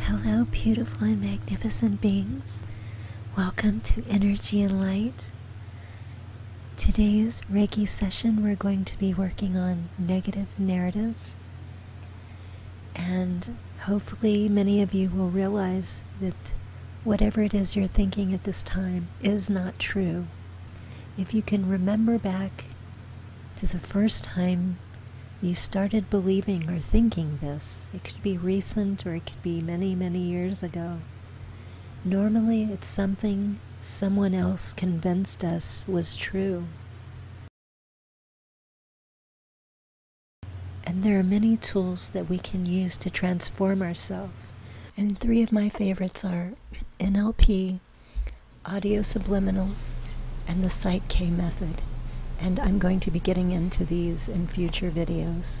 Hello, beautiful and magnificent beings. Welcome to Energy and Light. Today's Reiki session, we're going to be working on negative narrative. And hopefully, many of you will realize that whatever it is you're thinking at this time is not true. If you can remember back to the first time you started believing or thinking this. It could be recent or it could be many, many years ago. Normally, it's something someone else convinced us was true. And there are many tools that we can use to transform ourselves. And three of my favorites are NLP, audio subliminals, and the K method. And I'm going to be getting into these in future videos.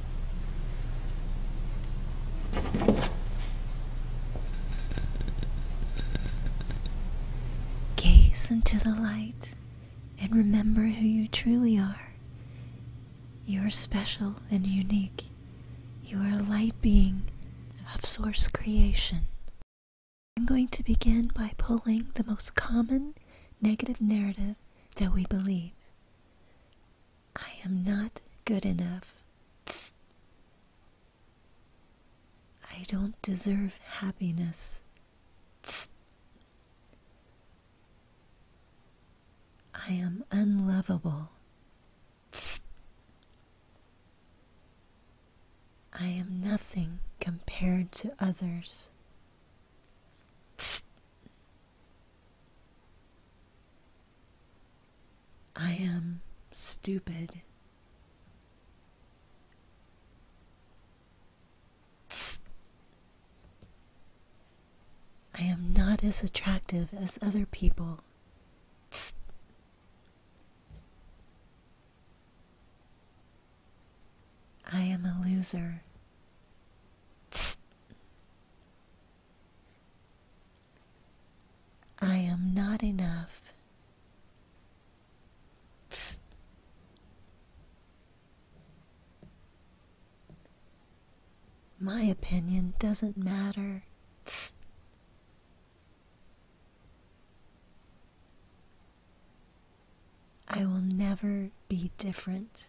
Gaze into the light and remember who you truly are. You are special and unique. You are a light being of Source creation. I'm going to begin by pulling the most common negative narrative that we believe. I am not good enough. I don't deserve happiness. I am unlovable. I am nothing compared to others. I am stupid. I am not as attractive as other people. I am a loser. I am not enough. My opinion doesn't matter. I will never be different.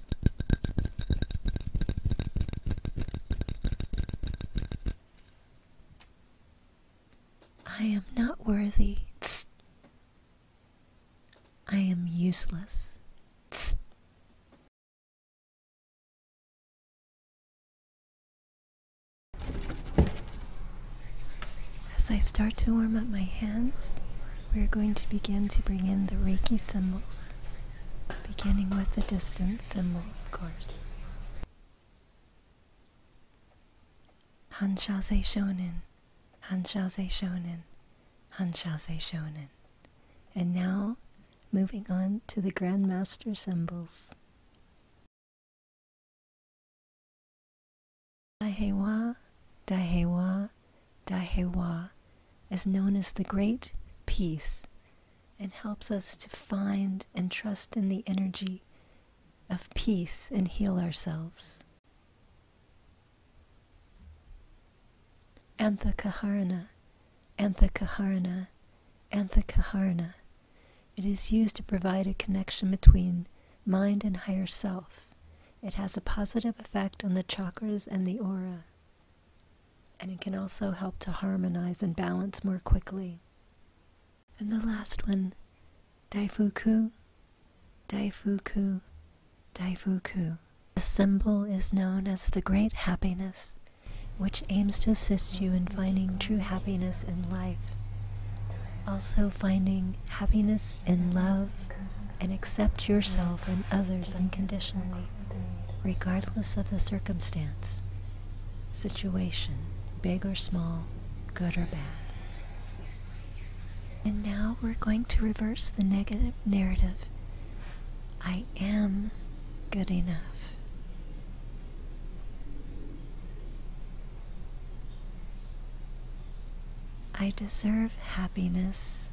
I am not worthy. Tss. I am useless. Tss. As I start to warm up my hands, we are going to begin to bring in the Reiki symbols beginning with the distance symbol, of course. Hanshase Shonen, Hanshase Shonen, Hanshase Shonen. And now, moving on to the Grandmaster symbols. Daihewa, Daihewa, Daihewa is known as the Great Peace and helps us to find and trust in the energy of peace and heal ourselves. Antha Kaharana, Antha Kaharana, Antha Kaharana. It is used to provide a connection between mind and higher self. It has a positive effect on the chakras and the aura and it can also help to harmonize and balance more quickly. And the last one, Daifuku, Daifuku, Daifuku. The symbol is known as the Great Happiness, which aims to assist you in finding true happiness in life. Also finding happiness in love and accept yourself and others unconditionally regardless of the circumstance, situation, big or small, good or bad. And now we're going to reverse the negative narrative. I am good enough. I deserve happiness.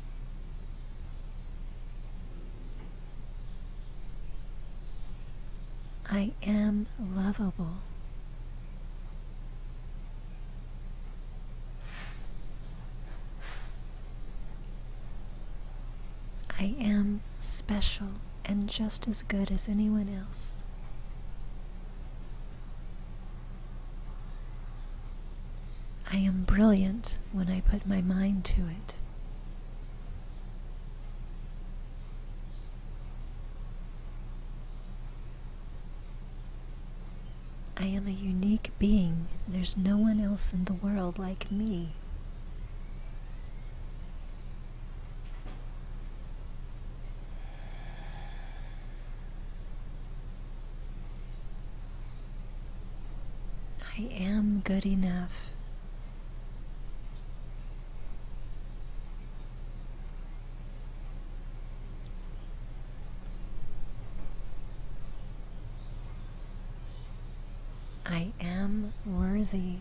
I am lovable. I am special and just as good as anyone else. I am brilliant when I put my mind to it. I am a unique being. There's no one else in the world like me. I am good enough. I am worthy.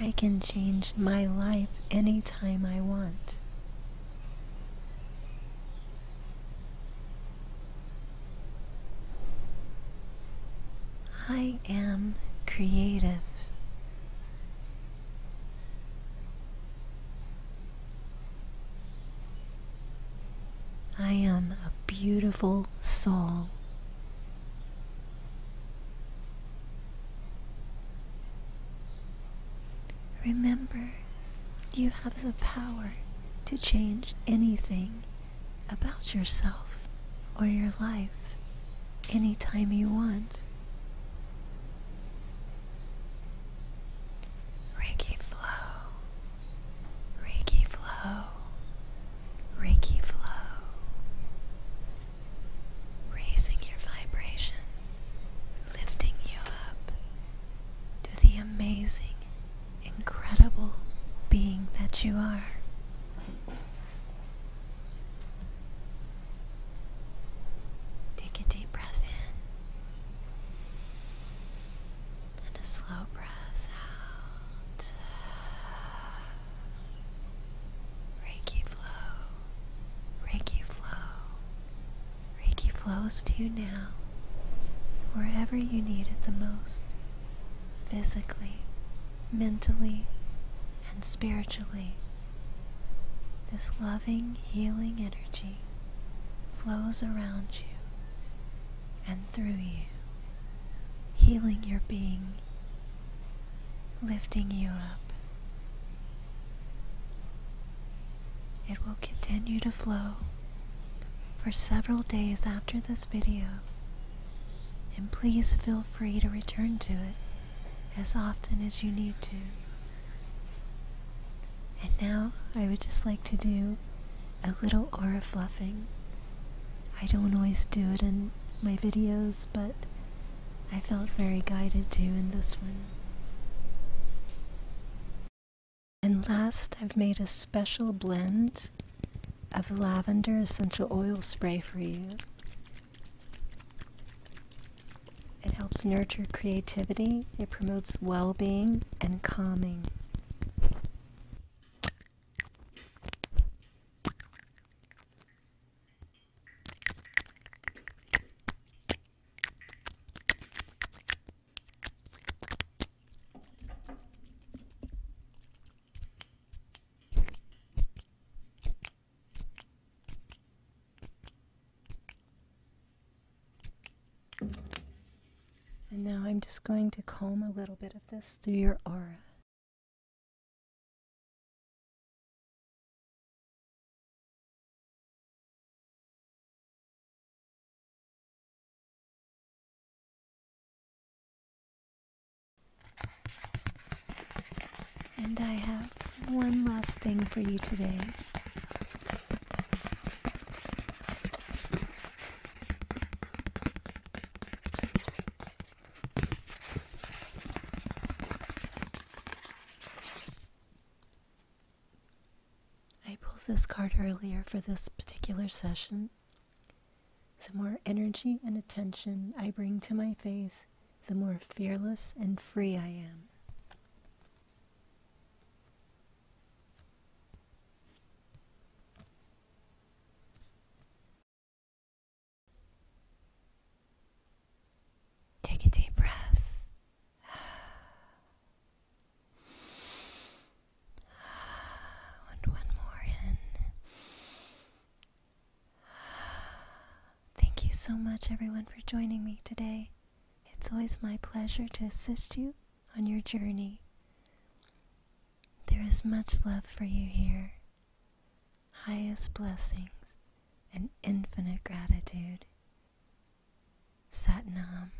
I can change my life anytime I want. I am creative. I am a beautiful soul. Remember, you have the power to change anything about yourself or your life anytime you want. Reiki flow, Reiki flow, Reiki flow, raising your vibration, lifting you up to the amazing, incredible being that you are. Take a deep breath in and a slow breath out. Reiki flow Reiki flow. Reiki flows to you now, wherever you need it the most, physically, mentally, and spiritually. This loving, healing energy flows around you and through you, healing your being lifting you up. It will continue to flow for several days after this video, and please feel free to return to it as often as you need to. And now I would just like to do a little aura fluffing. I don't always do it in my videos, but I felt very guided too in this one. And last, I've made a special blend of lavender essential oil spray for you. It helps nurture creativity, it promotes well being and calming. And now I'm just going to comb a little bit of this through your aura. And I have one last thing for you today. I pulled this card earlier for this particular session. The more energy and attention I bring to my faith, the more fearless and free I am. Take a deep breath. And one more in. Thank you so much, everyone, for joining me today. It's always my pleasure to assist you on your journey. There is much love for you here highest blessings and infinite gratitude. Sat Nam.